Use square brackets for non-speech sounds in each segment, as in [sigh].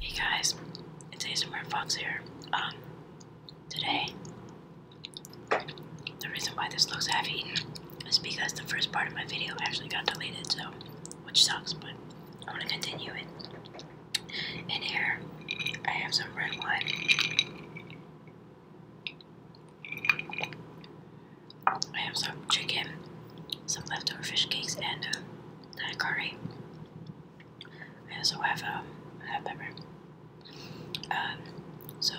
Hey guys, it's ASMR Fox here. Um, today, the reason why this looks half eaten is because the first part of my video actually got deleted, so, which sucks, but I'm gonna continue it. In here, I have some red wine. I have some chicken, some leftover fish cakes, and uh, um, that curry. I also have um, hot pepper. Um, so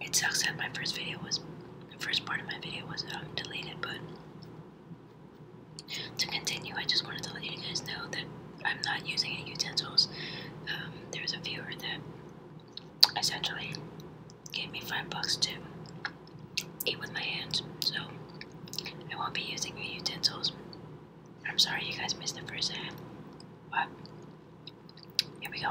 it sucks that my first video was first part of my video was um, deleted, but to continue, I just wanted to let you guys know that I'm not using any utensils. Um, there's a viewer that essentially gave me five bucks to eat with my hands, so I won't be using any utensils. I'm sorry you guys missed the first hand, but here we go.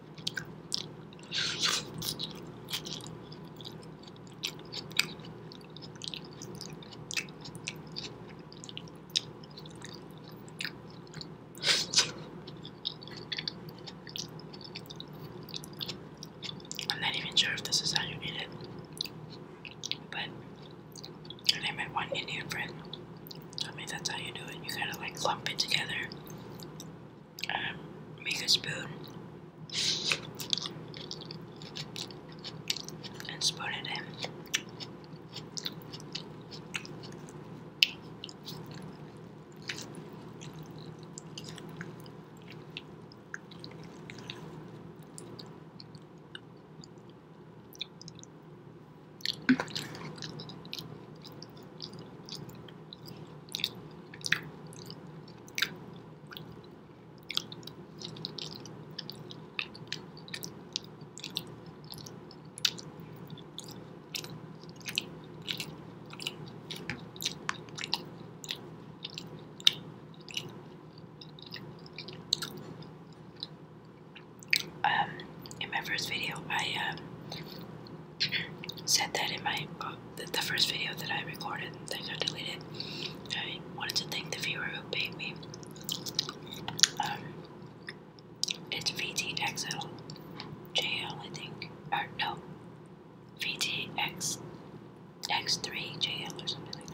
I'm not even sure if this is how you eat it, but I named my one Indian friend told me that's how you do it. You gotta like clump it together make a spoon and spoon it in. Um, in my first video, I um, said that in my the, first video that I recorded that got deleted. I wanted to thank the viewer who paid me. Um, it's VTXL think. Or no, VTX 3 JL or something like that.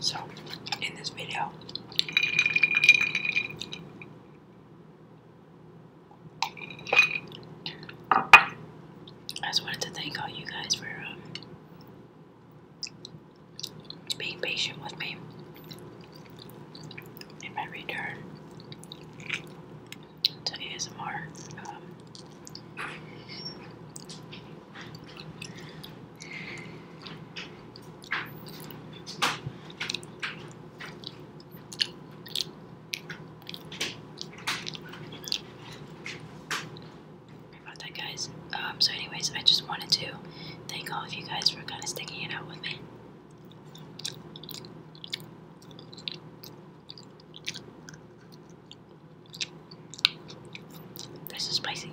So, in this video, I just wanted to thank all you guys for um, being patient with me in my return to ASMR. Um, about that guys um, so anyways I just wanted to thank all of you guys for kind of sticking it out with me this is spicy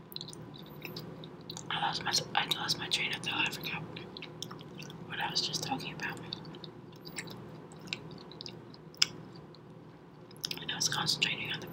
I lost my I lost my train of thought. I forgot what I was just talking about. And I was concentrating on the food.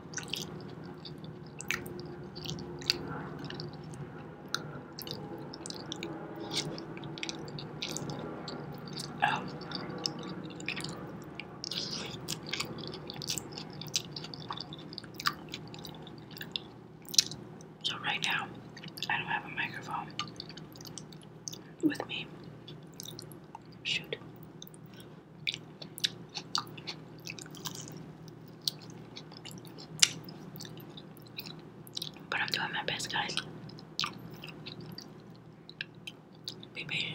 Oh. So, right now, I don't have a microphone with me. Shoot. But I'm doing my best, guys. Be patient.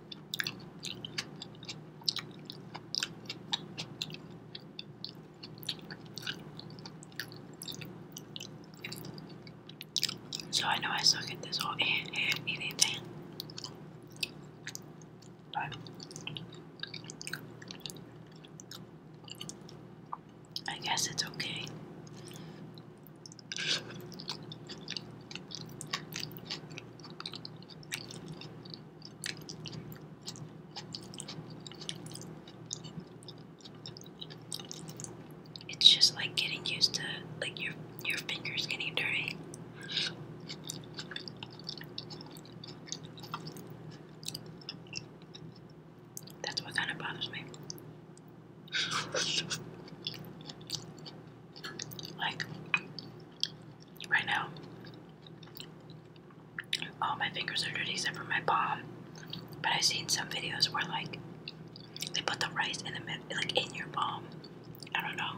So I know I suck at this whole [laughs] hand hand eating thing. But I guess it's okay. It's just like getting used to like your your fingers getting dirty. That's what kind of bothers me. [laughs] like right now. All my fingers are dirty except for my palm. But I've seen some videos where like they put the rice in the middle, like in your palm. I don't know.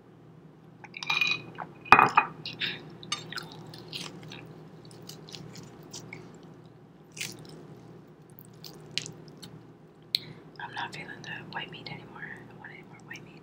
I'm not feeling the white meat anymore. I don't want any more white meat.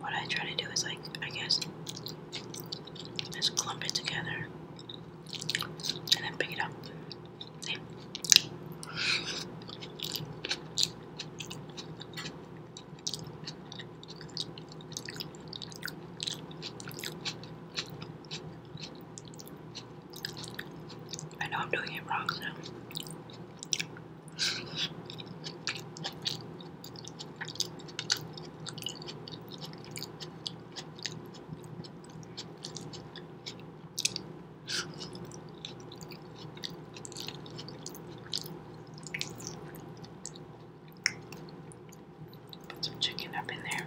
What I try to do is, like, I guess, just clump it together and then pick it up. I know I'm doing it wrong, so Put some chicken up in there.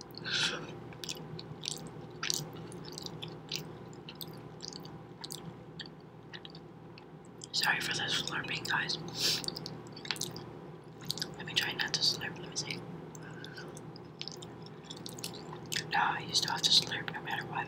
Sorry for this slurping, guys. Let me try not to slurp. Let me see. No, I used to have to slurp no matter what.